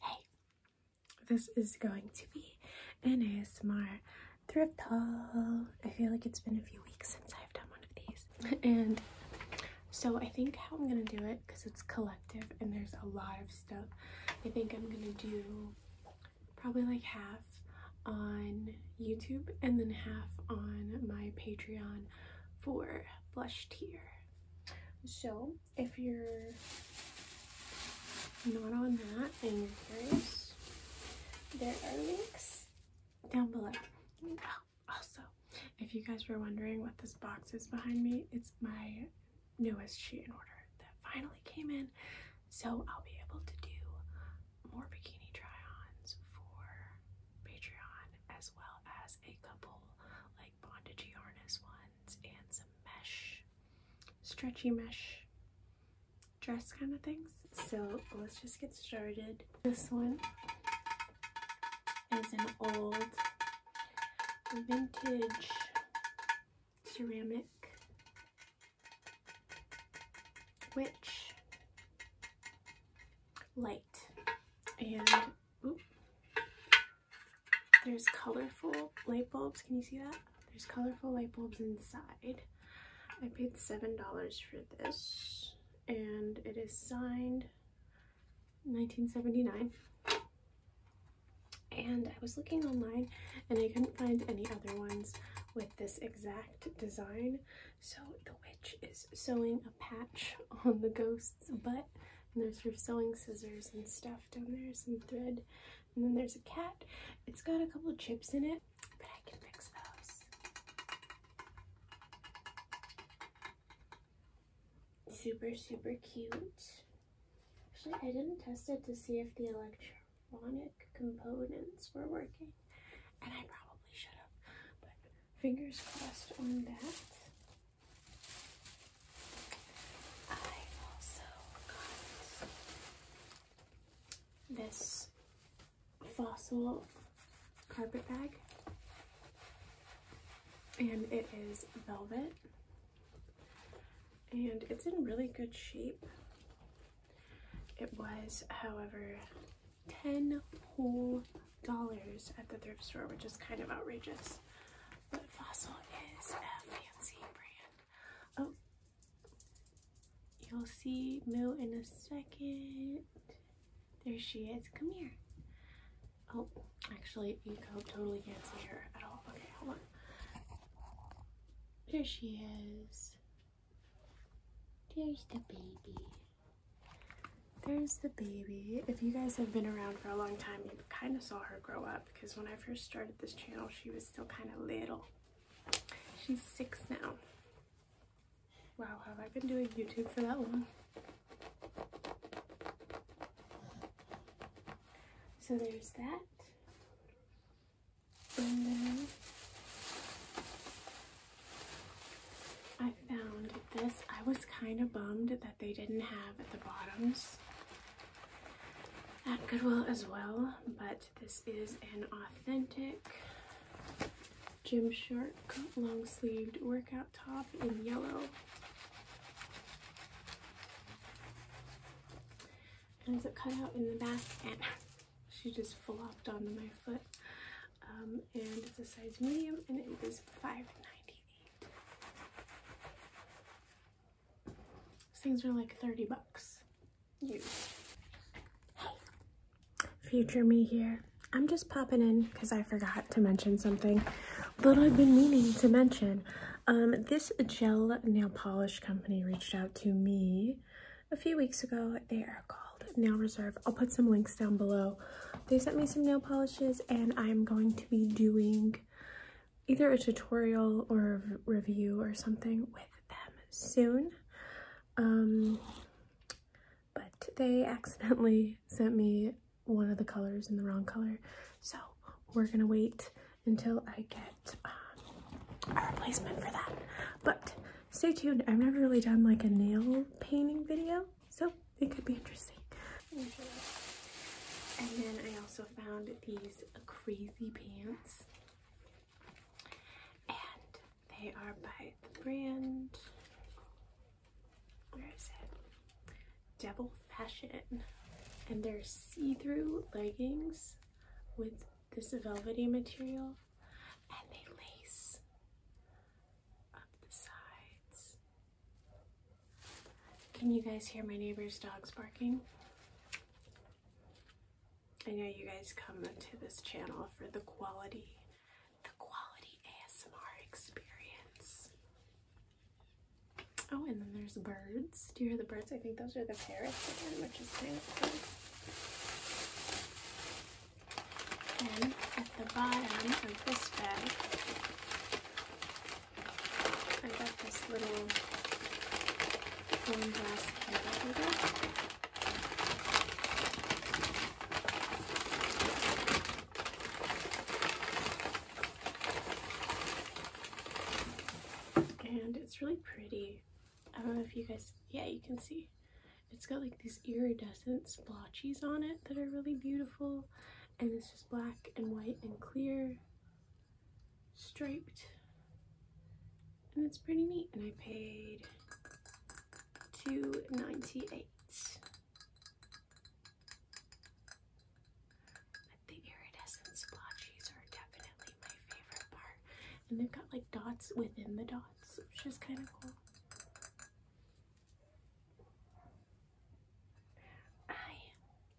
Hey, this is going to be an ASMR thrift haul. I feel like it's been a few weeks since I've done one of these. And so I think how I'm going to do it, because it's collective and there's a lot of stuff, I think I'm going to do probably like half on YouTube and then half on my Patreon for blush tier. So if you're not on that and you're curious, there are links down below. Oh, also, if you guys were wondering what this box is behind me, it's my newest sheet in order that finally came in. So I'll be able to do more bikini try-ons for Patreon, as well as a couple like bondage harness ones and some mesh, stretchy mesh dress kind of things. So let's just get started. This one is an old vintage ceramic witch light and there's colorful light bulbs. Can you see that? There's colorful light bulbs inside. I paid $7 for this and it is signed 1979 and I was looking online and I couldn't find any other ones with this exact design so the which is sewing a patch on the ghost's butt. And there's her sewing scissors and stuff down there, some thread. And then there's a cat. It's got a couple chips in it, but I can fix those. Super, super cute. Actually, I didn't test it to see if the electronic components were working, and I probably should have, fingers crossed on that. I also got this fossil carpet bag and it is velvet and it's in really good shape. It was, however, 10 whole dollars at the thrift store, which is kind of outrageous. But Fossil is a fancy brand. Oh, you'll see Moo in a second. There she is. Come here. Oh, actually, you totally can't see her at all. Okay, hold on. Here she is. There's the baby. There's the baby. If you guys have been around for a long time, you kind of saw her grow up because when I first started this channel, she was still kind of little. She's six now. Wow, have I been doing YouTube for that long? So there's that. And then I found this. I was kind of bummed that they didn't have the bottoms at Goodwill as well, but this is an authentic Gymshark long sleeved workout top in yellow. And it cut out in the back and she just flopped onto my foot um, and it's a size medium and it is was $5.98. Things are like 30 bucks. You, Hey, future me here. I'm just popping in because I forgot to mention something that I've been meaning to mention. Um, this gel nail polish company reached out to me a few weeks ago. They are called Nail Reserve. I'll put some links down below. They sent me some nail polishes and I'm going to be doing either a tutorial or a review or something with them soon. Um, but they accidentally sent me one of the colors in the wrong color. So we're gonna wait until I get um, a replacement for that. But stay tuned. I've never really done like a nail painting video, so it could be interesting. And then I also found these crazy pants. And they are by the brand, Devil Fashion. And they're see-through leggings with this velvety material and they lace up the sides. Can you guys hear my neighbor's dogs barking? I know you guys come to this channel for the quality, the quality ASMR experience. Oh, and then there's birds. Do you hear the birds? I think those are the parrots again, which is kind of fun. Then at the bottom of this bag, I got this little glass candle And it's really pretty. I don't know if you guys, yeah, you can see. It's got like these iridescent splotches on it that are really beautiful. And it's just black and white and clear, striped. And it's pretty neat. And I paid two ninety eight. But the iridescent splotches are definitely my favorite part and they've got like dots within the dots, which is kind of cool. I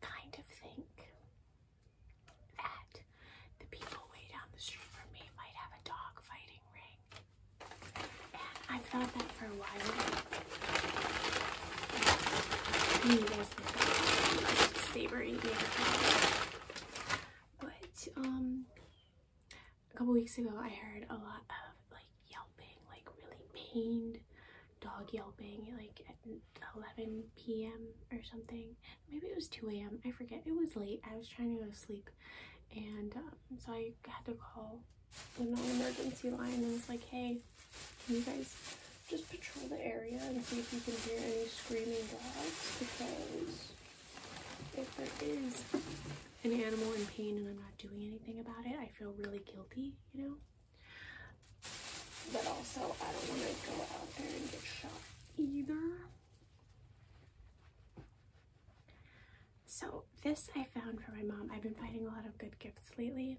kind of think that the people way down the street from me might have a dog fighting ring. I've thought that for a while. savory but um, a couple weeks ago, I heard a lot of like yelping, like really pained dog yelping, like at 11 p.m. or something. Maybe it was 2 a.m. I forget. It was late. I was trying to go to sleep, and um, so I had to call the non-emergency line and was like, "Hey, can you guys just patrol the area and see if you can hear any screaming dogs because if there is an animal in pain and I'm not doing anything about it, I feel really guilty, you know? But also, I don't want to go out there and get shot either. So, this I found for my mom. I've been finding a lot of good gifts lately,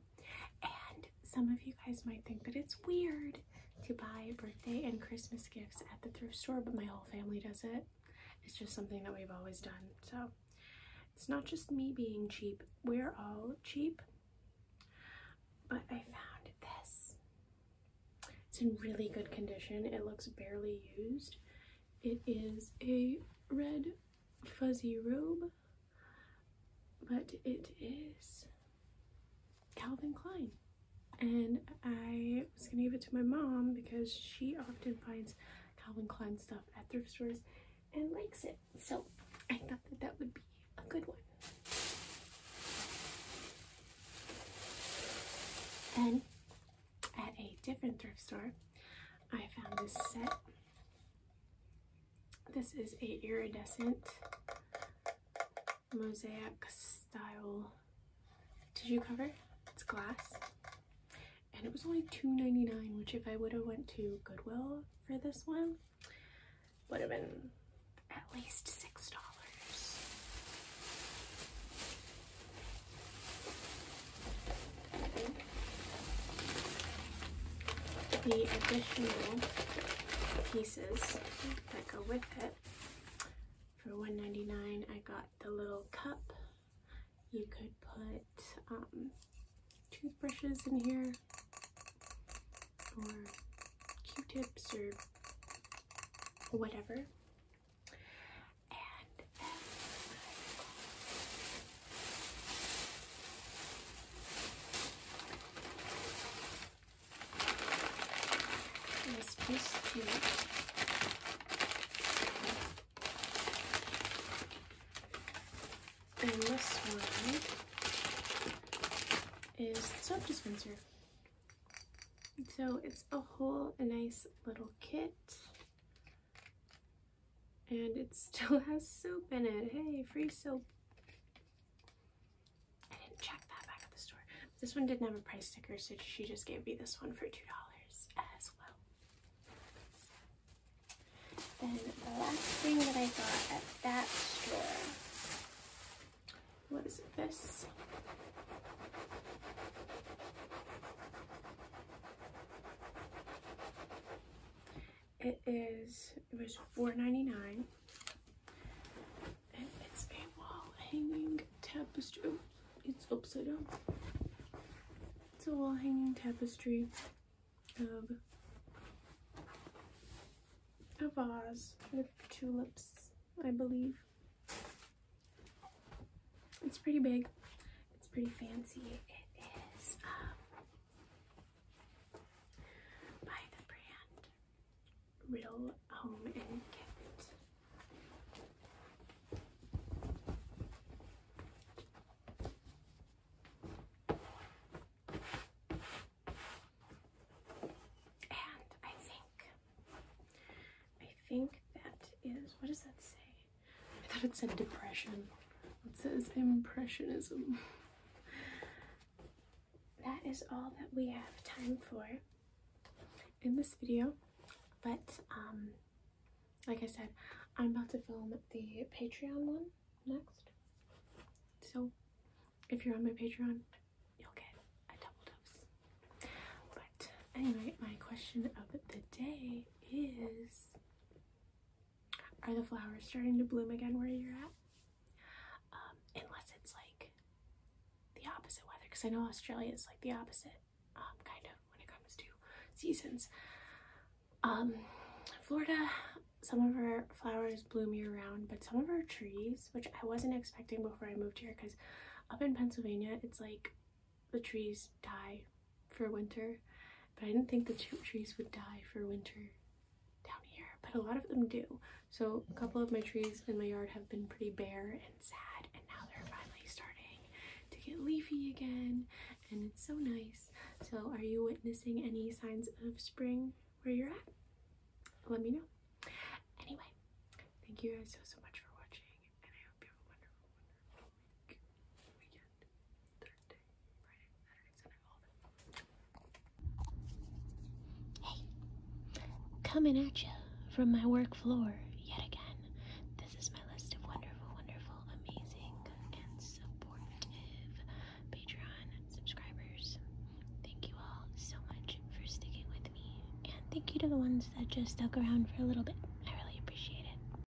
and some of you guys might think that it's weird to buy birthday and Christmas gifts at the thrift store, but my whole family does it. It's just something that we've always done. So it's not just me being cheap, we're all cheap. But I found this. It's in really good condition. It looks barely used. It is a red fuzzy robe, but it is Calvin Klein. And I was gonna give it to my mom because she often finds Calvin Klein stuff at thrift stores and likes it. So I thought that that would be a good one. Then at a different thrift store, I found this set this is a iridescent mosaic style tissue cover. It's glass. And it was only $2.99, which if I would have went to Goodwill for this one, would have been at least $6 that go with it. For $1.99 I got the little cup. You could put um, toothbrushes in here or q-tips or whatever. This piece too. And this one is soap dispenser. So it's a whole a nice little kit. And it still has soap in it. Hey, free soap. I didn't check that back at the store. This one didn't have a price sticker, so she just gave me this one for $2 as well. Then the last thing that I got at that store what is this? It is, it was four ninety nine. it's a wall hanging tapestry. Oh, it's upside down. It's a wall hanging tapestry of a vase with tulips, I believe. It's pretty big. It's pretty fancy. It is um, by the brand Real Home and Kit. And I think, I think that is, what does that say? I thought it said depression. It says impressionism. that is all that we have time for in this video. But um, like I said, I'm about to film the Patreon one next. So if you're on my Patreon, you'll get a double dose. But anyway, my question of the day is are the flowers starting to bloom again where you're at? Um, unless it's like the opposite weather, because I know Australia is like the opposite, um, kind of when it comes to seasons. Um, Florida, some of our flowers bloom year round, but some of our trees, which I wasn't expecting before I moved here, because up in Pennsylvania, it's like the trees die for winter, but I didn't think the two trees would die for winter down here, but a lot of them do. So a couple of my trees in my yard have been pretty bare and sad, and now they're finally starting to get leafy again, and it's so nice. So are you witnessing any signs of spring where you're at? Let me know. Anyway, thank you guys so, so much for watching, and I hope you have a wonderful, one. Hey, coming at you from my work floor yet again. This is my list of wonderful, wonderful, amazing, and supportive Patreon subscribers. Thank you all so much for sticking with me, and thank you to the ones that just stuck around for a little bit. I really appreciate it.